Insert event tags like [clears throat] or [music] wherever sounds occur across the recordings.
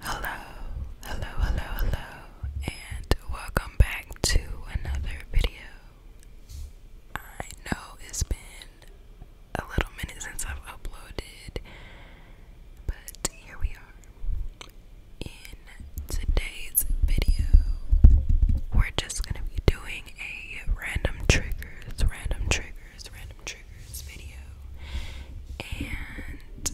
Hello, hello, hello, hello, and welcome back to another video. I know it's been a little minute since I've uploaded, but here we are. In today's video, we're just gonna be doing a random triggers, random triggers random triggers video. And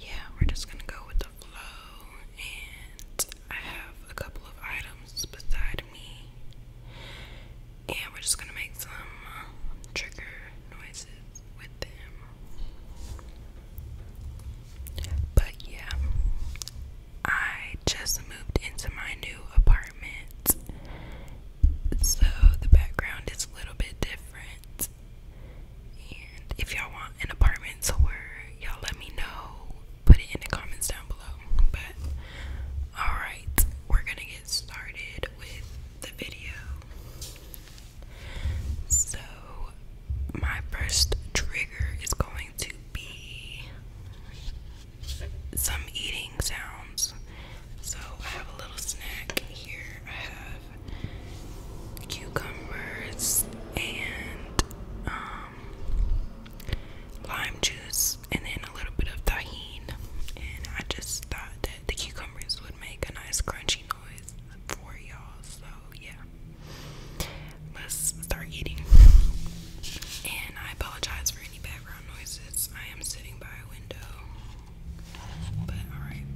yeah, we're just gonna go with the flow. And I have a couple of items beside me. And we're just gonna make some uh, trigger noises with them. But yeah, I just moved into my new apartment so the background is a little bit different. And if y'all want an apartment tour, y'all let me know. Put it in the comments down below. But alright, we're gonna get started with the video. So, my first trigger is going to be some eating sounds. So I have a little snack here. I have cucumbers and um, lime juice, and then a little bit of tahine. And I just thought that the cucumbers would make a nice crunchy noise for y'all. So yeah, let's start eating. And I apologize for any bad I am sitting by a window. But alright.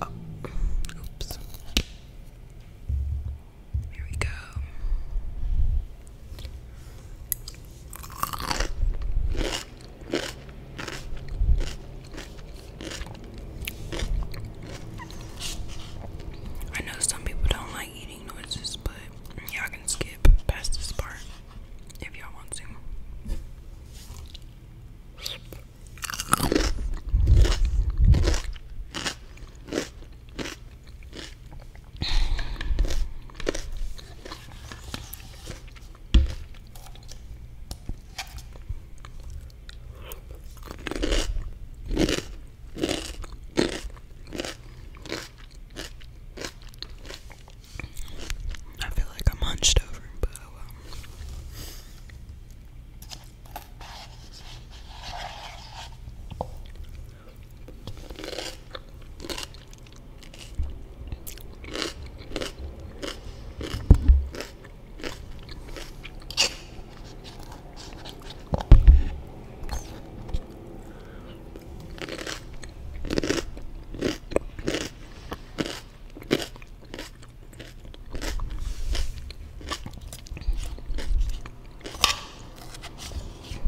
Oh. Oops. Here we go. I know some people don't like eating beeping noises, but y'all can skip past this part if y'all want to. I feel like I'm hunched over, but oh well.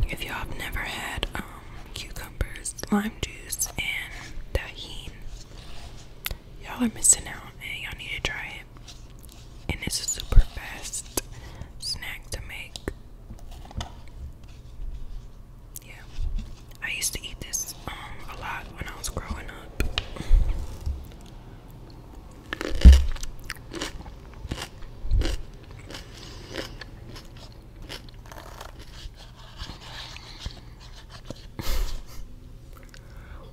If y'all have never had um, cucumbers, lime juice, and tahine, y'all are missing out and y'all need to try it. And it's a super fast snack to make. Yeah. I used to eat this um, a lot when I was growing up.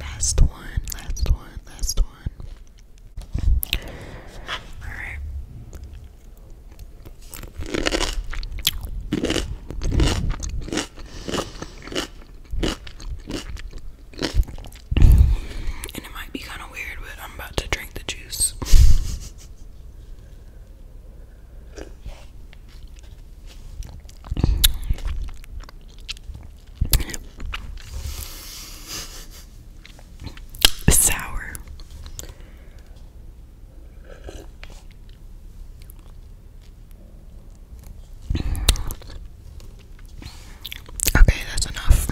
Last one, last one, last one. Alright. And it might be kind of weird, but I'm about to drink the juice. Sour. Okay, that's enough.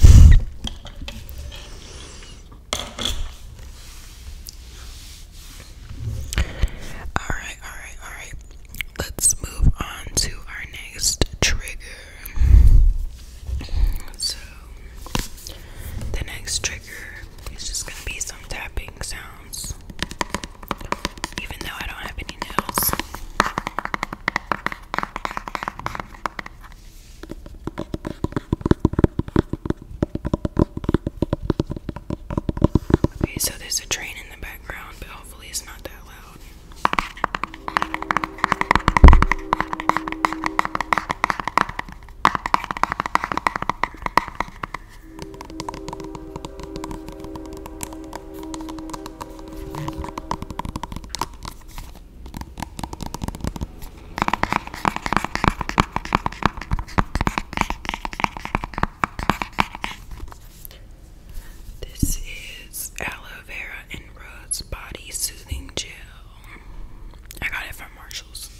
Alright, alright, alright. Let's move on to our next trigger. So, the next trigger is just going to be some tapping sounds, even though I don't have any nails. Okay, so there's a train in the background, but hopefully it's not that loud. This is aloe vera and rose body soothing gel. I got it from Marshalls.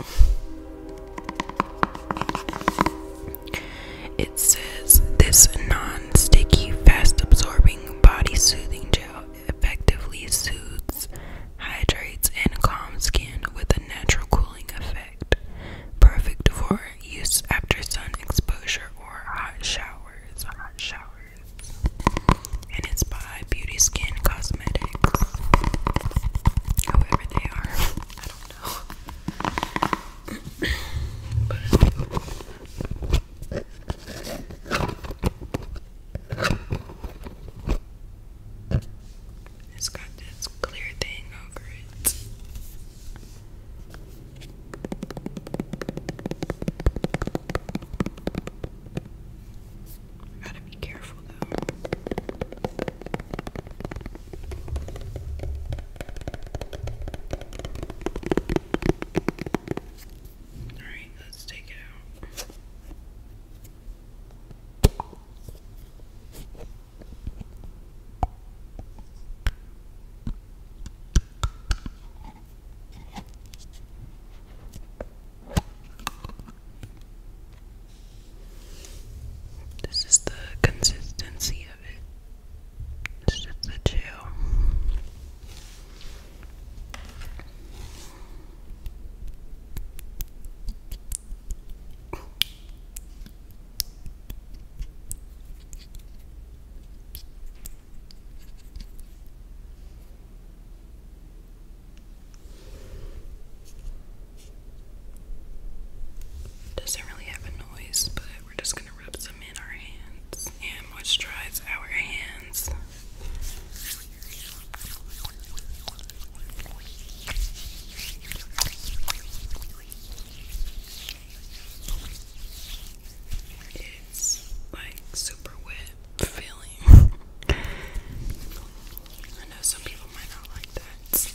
It says this non sticky, fast absorbing. Body Soothing Gel effectively soothes, hydrates, and calms skin with a natural cooling effect. Perfect for use after sun exposure or hot showers. Hot showers. And it's by Beauty Skin Cosmetics. Whoever they are. I don't know. [clears throat] It's got this clear thing over it. gotta be careful though. Alright, let's take it out. This is the consistency of it. It's just the two. Doesn't really have a noise, but we're just gonna rub some in our hands and moisturize our hands. It's like super wet feeling. I know some people might not like that.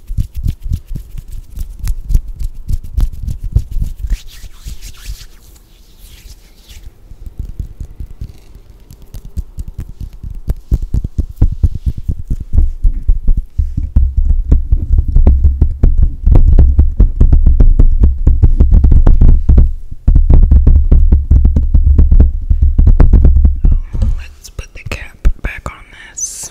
Let's put the cat cap back on this.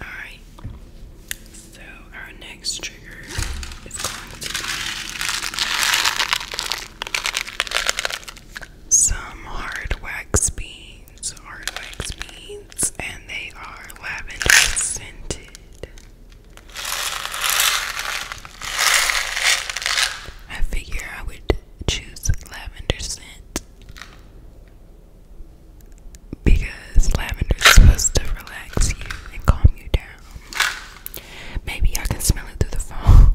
Alright, so our next trigger is going to be some hard wax beans, hard wax beans, and they are lavender scented. I figure I would choose lavender scent because lavender is supposed to relax you and calm you down. Maybe I can smell it through the phone.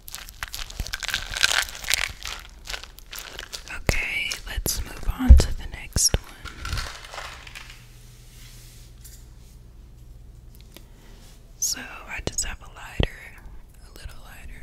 Okay, let's move on to the next one. So I just have a lighter, a little lighter.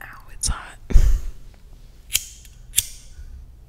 Ow, it's hot.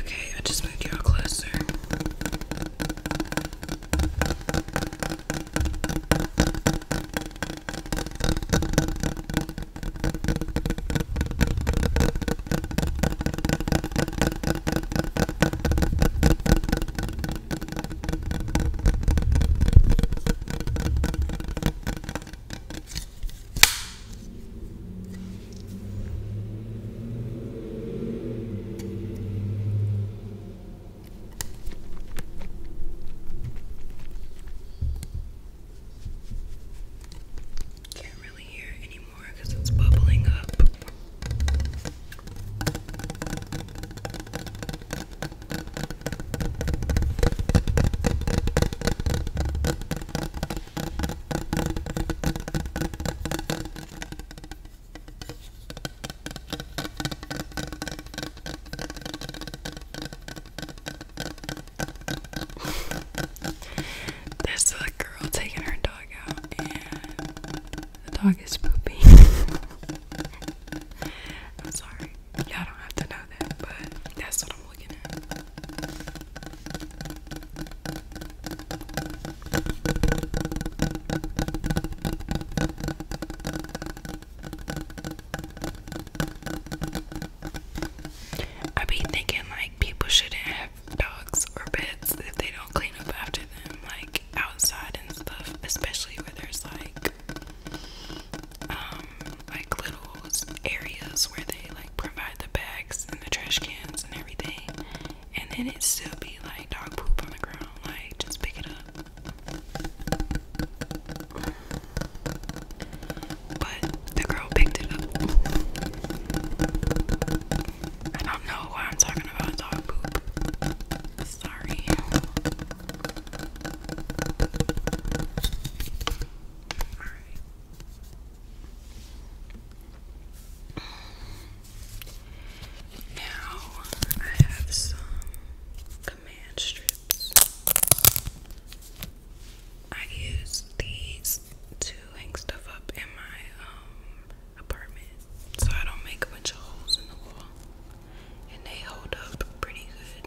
Okay, I just moved y'all closer. Can't really hear it anymore because it's bubbling up. [laughs] This little girl taking her dog out, and the dog is pooping. [laughs] I'm sorry. Y'all don't have to know that, but that's what I'm looking at. I be thinking like people shouldn't have dogs or pets if they don't clean up after them, like outside and stuff, especially where there's like um, like little areas where they like provide the bags and the trash cans and everything, and then it still be like dog poop on the ground. Like just pick it up. But the girl picked it up. I don't know why I'm talking about dog poop. Sorry. Alright. Now I have some command strips. I use these to hang stuff up in my um, apartment so I don't make a bunch of holes in the wall. And they hold up pretty good.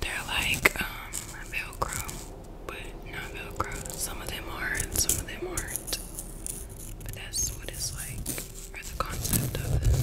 They're like um, Velcro, but not Velcro. Some of them are and some of them aren't. But that's what it's like, or the concept of it.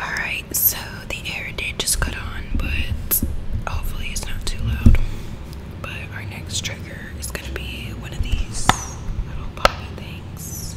Alright, so the air did just cut on, but hopefully it's not too loud. But our next trigger is gonna be one of these little poppy things.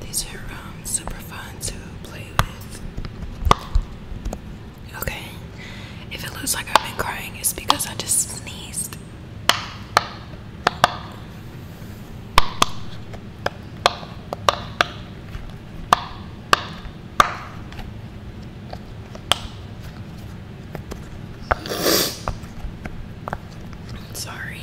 These are um, super fun to play with. Okay, if it looks like I've been crying, it's because I just sneezed. Sorry.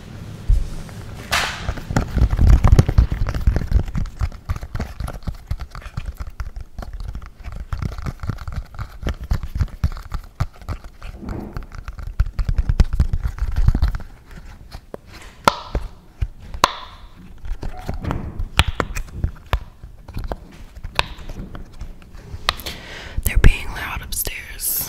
They're being loud upstairs.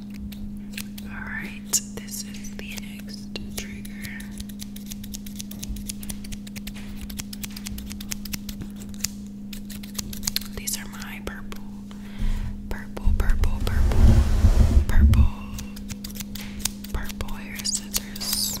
Alright, this is the next trigger. These are my purple, purple, purple, purple, purple, purple hair scissors.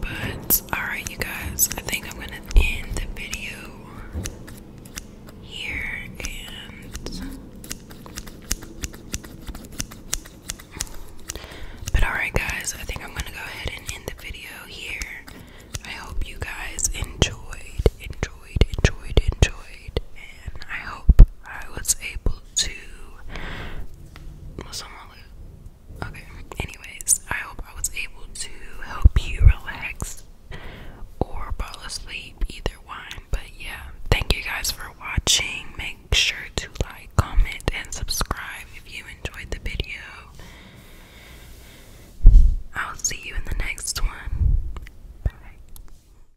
But, alright, you guys, I think I'm gonna end the video here But, alright, guys, I think I'm gonna go ahead and end the video here. I hope you guys enjoyed, enjoyed, enjoyed, enjoyed, I hope I was able to. Okay. Anyways, I hope I was able to help you relax or fall asleep, either one. But yeah, thank you guys for watching. Make sure to like, comment, and subscribe if you enjoyed the video. I'll see you in the next one. Bye.